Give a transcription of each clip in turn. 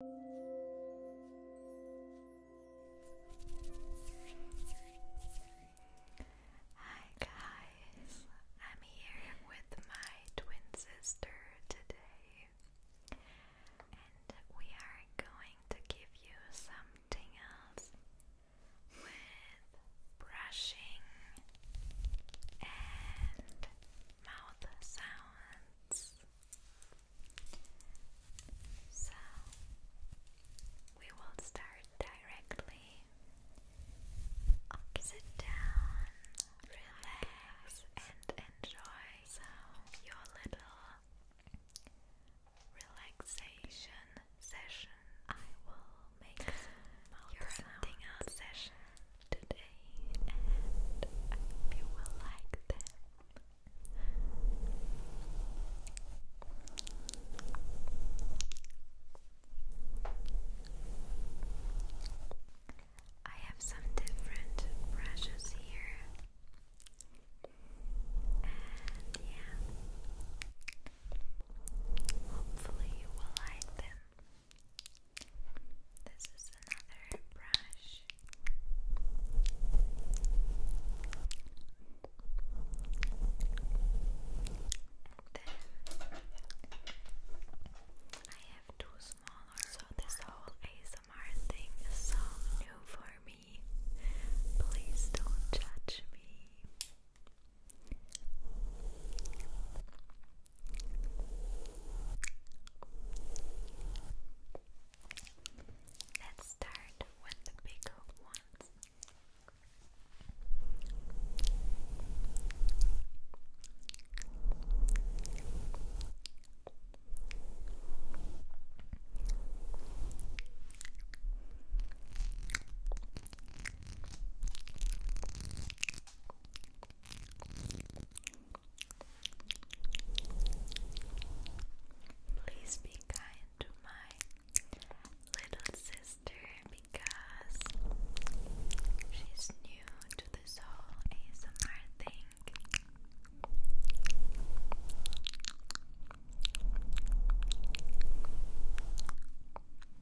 Hi guys, I'm here with my twin sister today, and we are going to give you some tingles with brushing and mouth sounds. So we will start directly. Sit down, relax, and enjoy your little relaxation session. I will make your sounding session today and I you will like them. I have some different brushes here. And yeah, hopefully you will like them. This is another brush. I have two smaller. So this whole ASMR thing is so new for me. Please don't judge me. Let's start with the bigger ones. Please be kind to my little sister because she's new to this whole ASMR thing.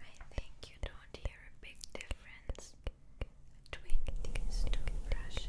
I think you don't hear a big difference between these two brushes.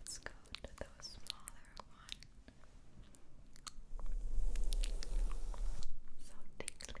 Let's go to the smaller one. So tingly. Good.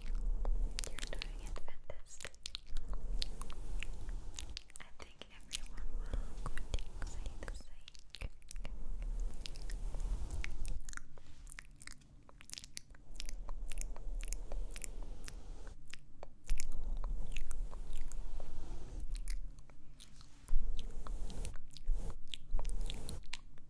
You're doing it fantastic. I think everyone will say the same. Thank you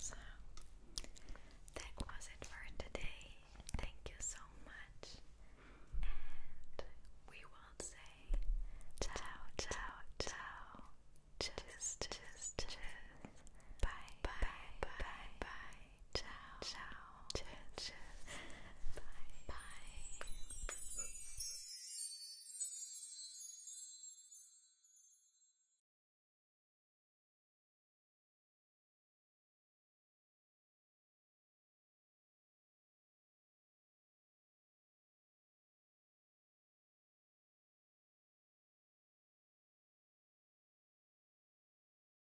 So that was it for today. Thank you so much. And we will say ciao, ciao, ciao. Just, just, just. bye, bye, bye. bye. Ciao. Ciao. Ciao. Ciao. Bye. Bye.